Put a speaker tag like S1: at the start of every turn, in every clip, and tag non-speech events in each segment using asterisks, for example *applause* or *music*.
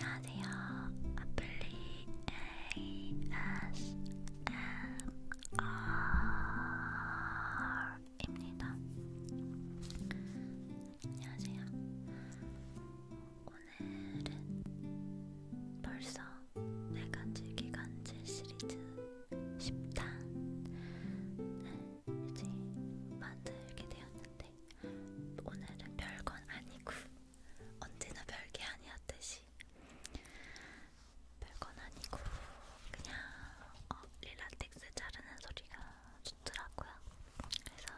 S1: 안녕하세요. 아플리 ASMR입니다. 안녕하세요. 오늘은 벌써 내간질 네 기간질 시리즈 10탄을 이제 만들게 되었는데 오늘은 별건 아니고 언제나 별게 아니었듯이 별건 아니고 그냥 어, 릴라텍스 자르는 소리가 좋더라고요. 그래서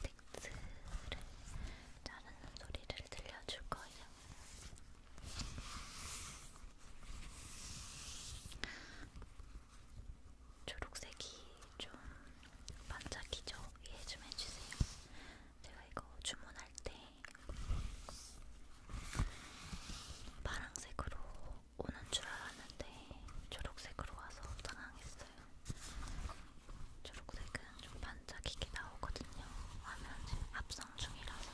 S1: 릴라텍스를 자르는 소리를 들려줄 거예요. 초록색이 좀 반짝이죠? 이해 좀 해주세요. 제가 이거 주문할 때 파랑색으로 오는 줄 알았는데 초록색으로 와서 당황했어요. 초록색은 좀 반짝이게 나오거든요. 화면 합성 중이라서.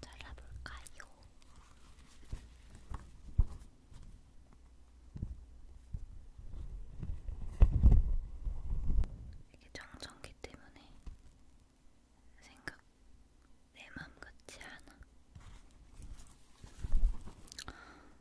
S1: 잘라볼까요? 이게 정전기 때문에 생각 내 맘 같지 않아.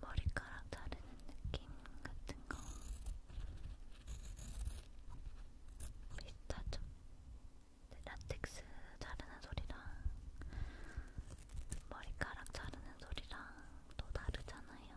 S1: 머리카락 자르는 느낌 같은 거 비슷하죠? 라텍스 자르는 소리랑 머리카락 자르는 소리랑 또 다르잖아요.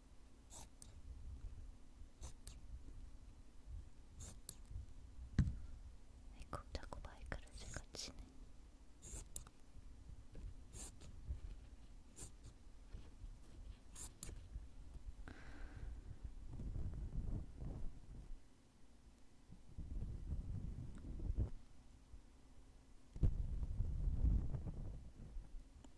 S1: 아이고 자꾸 마이크를 제가 치네.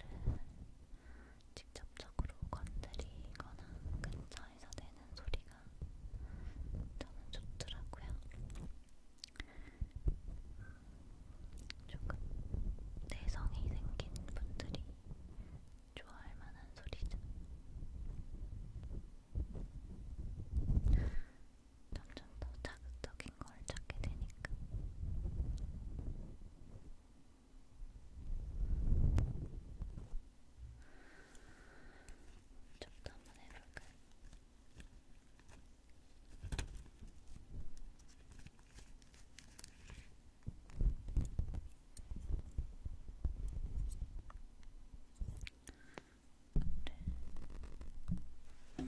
S1: 것들은 음, 직접적으로 건드리거나 근처에서 내는 소리가 저는 좋더라고요. 조금 내성이 생긴 분들이 좋아할 만한 소리죠. 점점 좀더 자극적인 걸 찾게 되니까. 좀더 한번 해볼까요? 그래. 네.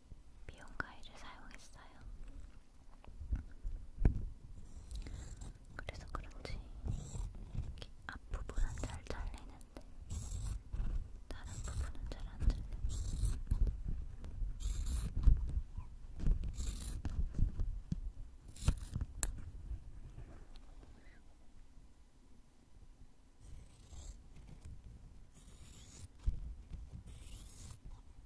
S1: 미용 가위를 사용했어요. 그래서 그런지 이렇게 앞부분은 잘 잘리는데 다른 부분은 잘안 잘려요. 이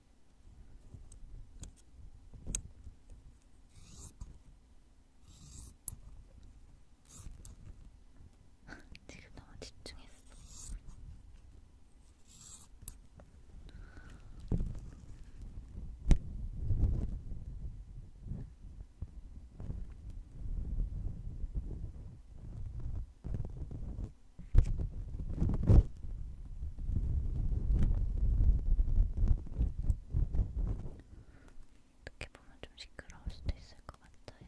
S1: *laughs* 지금 너무 집중했어. 어떻게 보면 좀 시끄러울 수도 있을 것 같아요.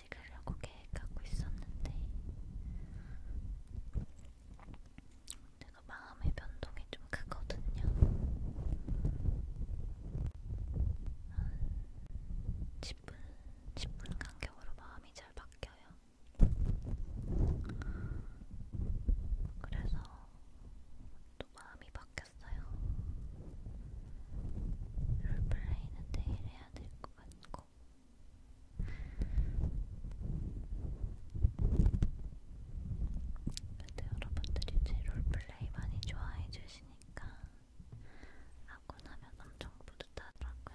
S1: 찍으려고 계획하고 있었는데 제가 마음의 변동이 좀 크거든요. 한 10분, 10분 간격으로 마음이 잘 바뀌어요. 그래서 또 마음이 바뀌었어요. 롤플레이는 내일 해야 될 것 같고 근데 여러분들이 제 롤플레이 많이 좋아해 주시니까 하고 나면 엄청 뿌듯하더라고요.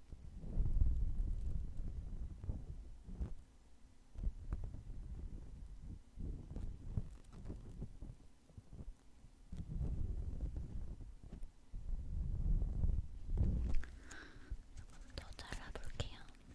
S1: 더 잘라볼게요. 음,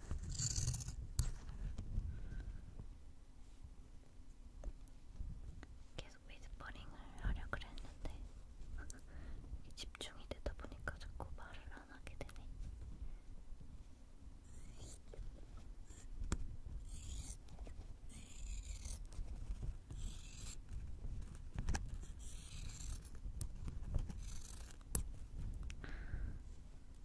S1: 계속 위스퍼링을 하려 그랬는데 *laughs* 집중이 되다 보니까 자꾸 말을 안 하게 되네.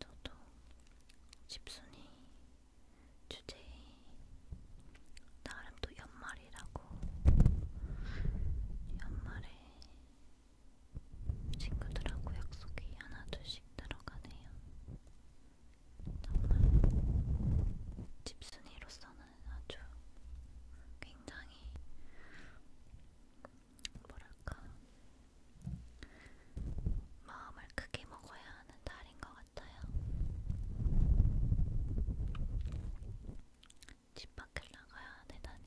S1: 저도 집순이 주제 나름 또 연말이라고 연말에 친구들하고 약속이 하나 둘씩 들어가네요. 정말 집순이로서는 아주 굉장히 뭐랄까 마음을 크게 먹어야 하는 달인 것 같아요. 집 밖을 나가야 되다니.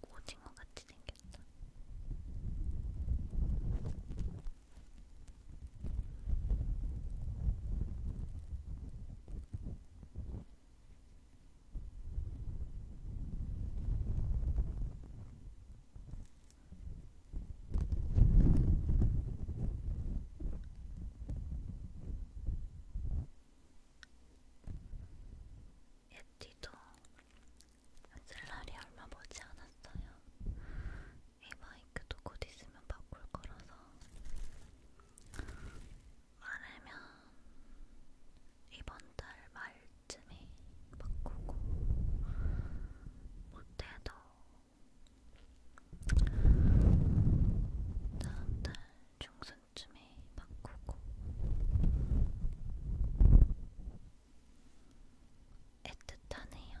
S1: 꼭 오징어 같이 생겼다. 예티도 쓸 날이 얼마 보지 않았어요. 이 마이크도 곧 있으면 바꿀 거라서 말하면 이번 달 말쯤에 바꾸고 못해도 다음 달 중순쯤에 바꾸고 애틋하네요.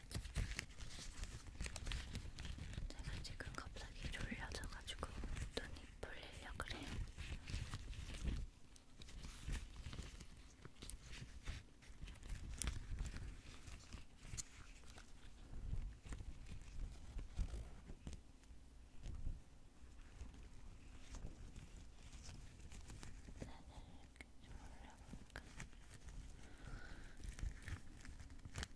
S1: 제가 지금 갑자기 졸려져가지고 눈이 풀리려 그래요. 자, 네, 네, 이렇게 좀 올려볼까?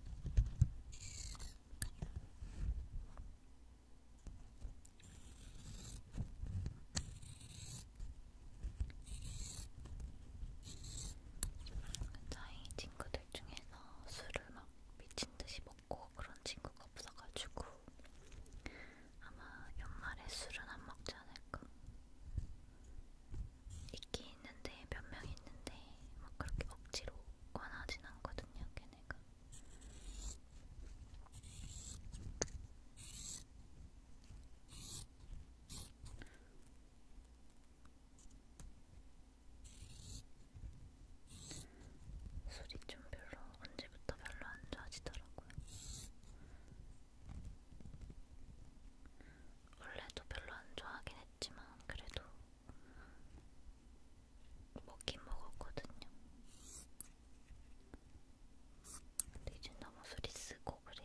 S1: 저희 친구들 중에서 술을 막 미친 듯이 먹고 그런 친구가 없어가지고 아마 연말에 술은 안 먹지 않을까. 있긴 있는데 몇 명 있는데 막 그렇게 억지로 권하진 않거든요, 걔네가. 술이 좀 별로 언제부터 별로 안 좋아지더라고요. 원래도 별로 안 좋아하긴 했지만 그래도 먹긴 먹었거든요. 근데 이제 너무 소리 쓰고 그래요.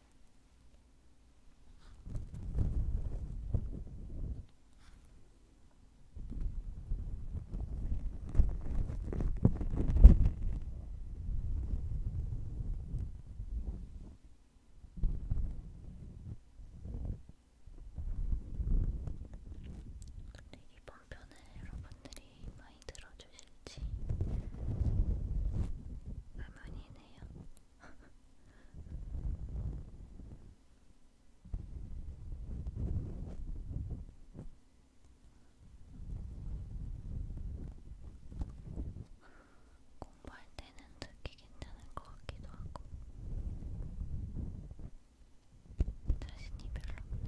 S1: 근데 이번 편을 여러분들이 많이 들어주셔서 주실지 의문이네요. *laughs* 공부할 때는 듣기 괜찮을 것 같기도 하고 자신이 별로 없네요.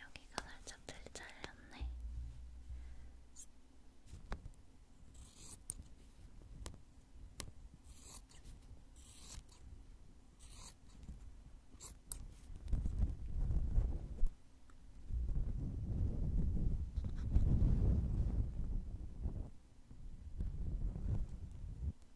S1: 여기가 살짝 덜 잘렸네. 이렇게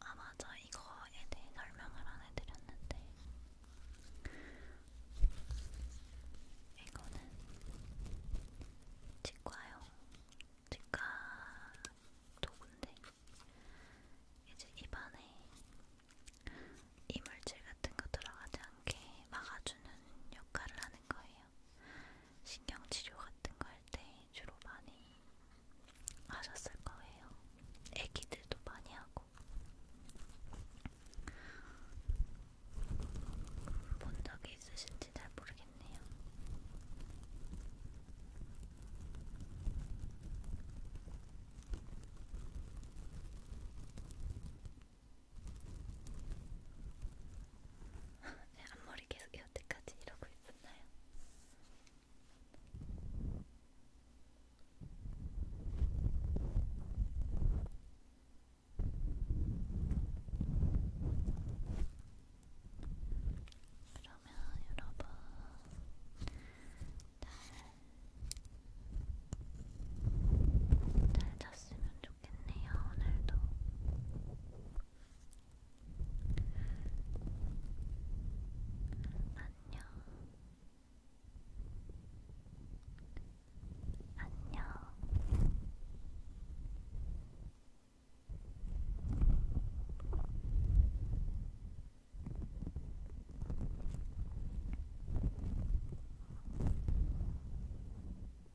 S1: 아 맞아 이거에 대해 설명을 안 해드렸는데 이거는 치과용 치과 도구인데 이제 입안에 이물질 같은 거 들어가지 않게 막아주는 역할을 하는 거예요. 같아요. 신경치료 같은 거 할 때 주로 많이 하셨을 거예요. 애기들도 많이 하고. 본 적이 있으신지 잘 모르겠네요. 네, 앞머리 계속 여태까지 이러고 있었나요? 그러면 여러분 잘, 잘 잤으면 좋겠어요. 좋겠네요, 오늘도. 안녕. 안녕. 안녕.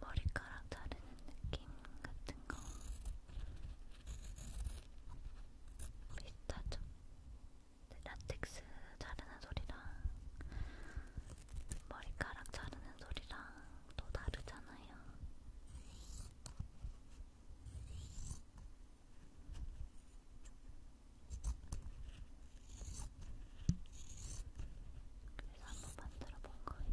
S1: 머리카락 자르는 느낌 같은 거 비슷하죠? 라텍스 자르는 소리랑 머리카락 자르는 소리랑 또 다르잖아요. 그래서 한번 만들어 본 거예요.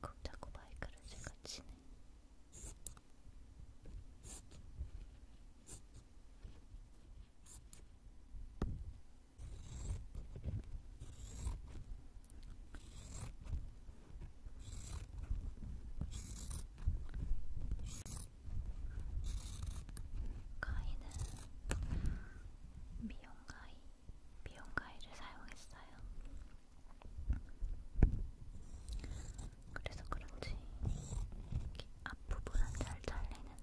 S1: 이거 자꾸 마이크를 제가 치네. 가위는 미용가위, 미용가위를 사용했어요. 그래서 그런지 앞부분은 잘 잘리는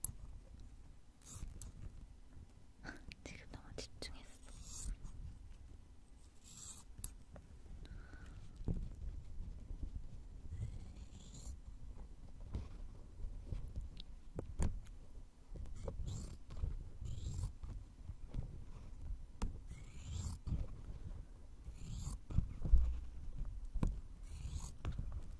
S1: *laughs* 지금 너무 집중했어.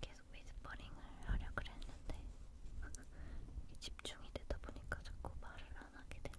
S1: 계속 위스퍼링을 하려 그랬는데 *laughs* 집중이 되다 보니까 자꾸 말을 안 하게 되네.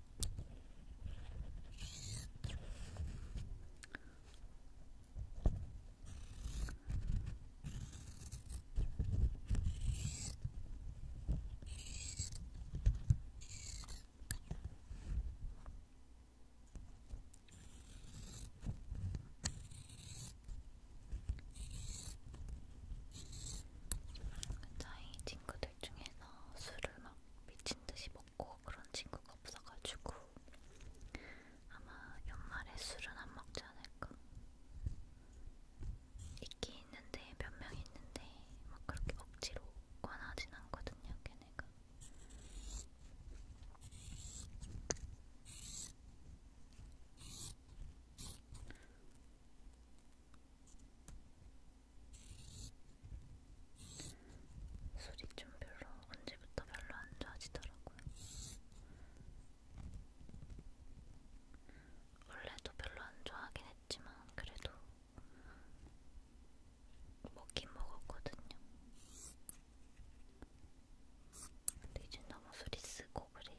S1: 저희 친구들 중에서 집에서 술을 막 미친 듯이 먹고 그런 친구가 없어가지고 아마 연말에 술은 안 먹지 않을까. 있긴 있는데 몇 명 있는데 막 그렇게 억지로 권하진 않거든요, 걔네가. 술이 좀 별로 언제부터 별로 안 좋아지더라고요. 원래도 별로 안 좋아하긴 했지만 그래도 먹긴 먹었거든요. 근데 이제 너무 술이 쓰고 그래요.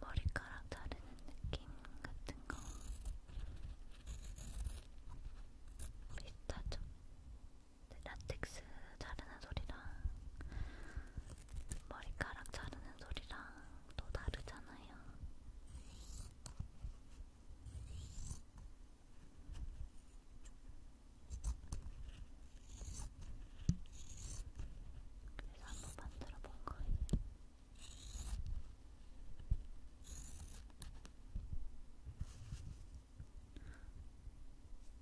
S1: 머리카락 자르는 느낌 같은 거 비슷하죠? 라텍스 자르는 소리랑 머리카락 자르는 소리랑 또 다르잖아요. 그래서 한번 만들어 본 거예요.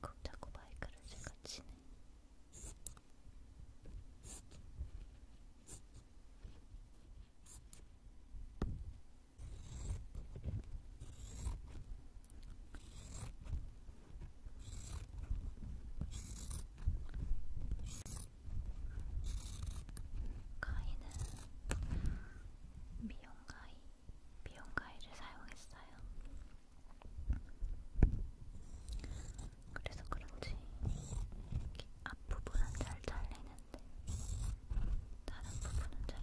S1: 이거 자꾸 마이크를 제가 치네. 가위는 미용가위, 미용가위를 사용했어요. 그래서 그런지 앞부분은 잘 잘리는데 다른 부분은 잘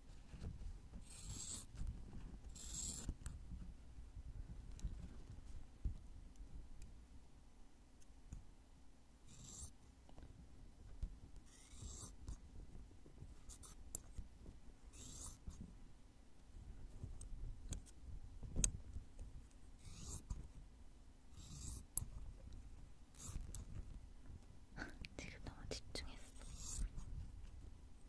S1: *laughs* 지금 너무 집중했어.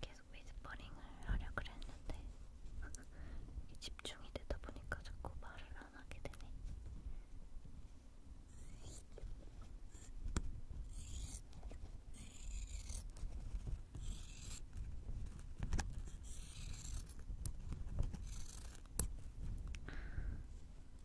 S1: 계속 위스퍼링을 하려 그랬는데 *laughs* 집중이 되다 보니까 자꾸 말을 안 하게 되네.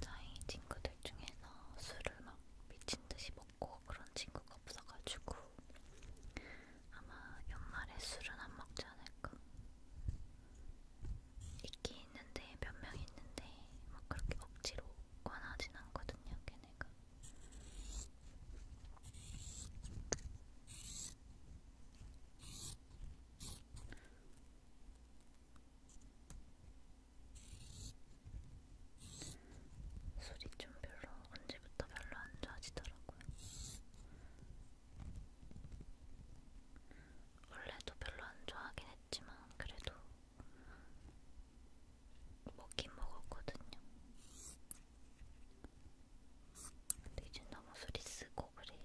S1: 저희 친구들 중에서 술을 막 미친 듯이 먹고 그런 친구가 없어가지고 아마 연말에 술은 안 먹지 않을까. 있긴 있는데 몇 명 있는데 막 그렇게 억지로 권하진 않거든요, 걔네가. 술이 좀 별로 언제부터 별로 안 좋아지더라고요. 원래도 별로 안 좋아하긴 했지만 그래도 먹긴 먹었거든요. 근데 이제 너무 술이 쓰고 그래요.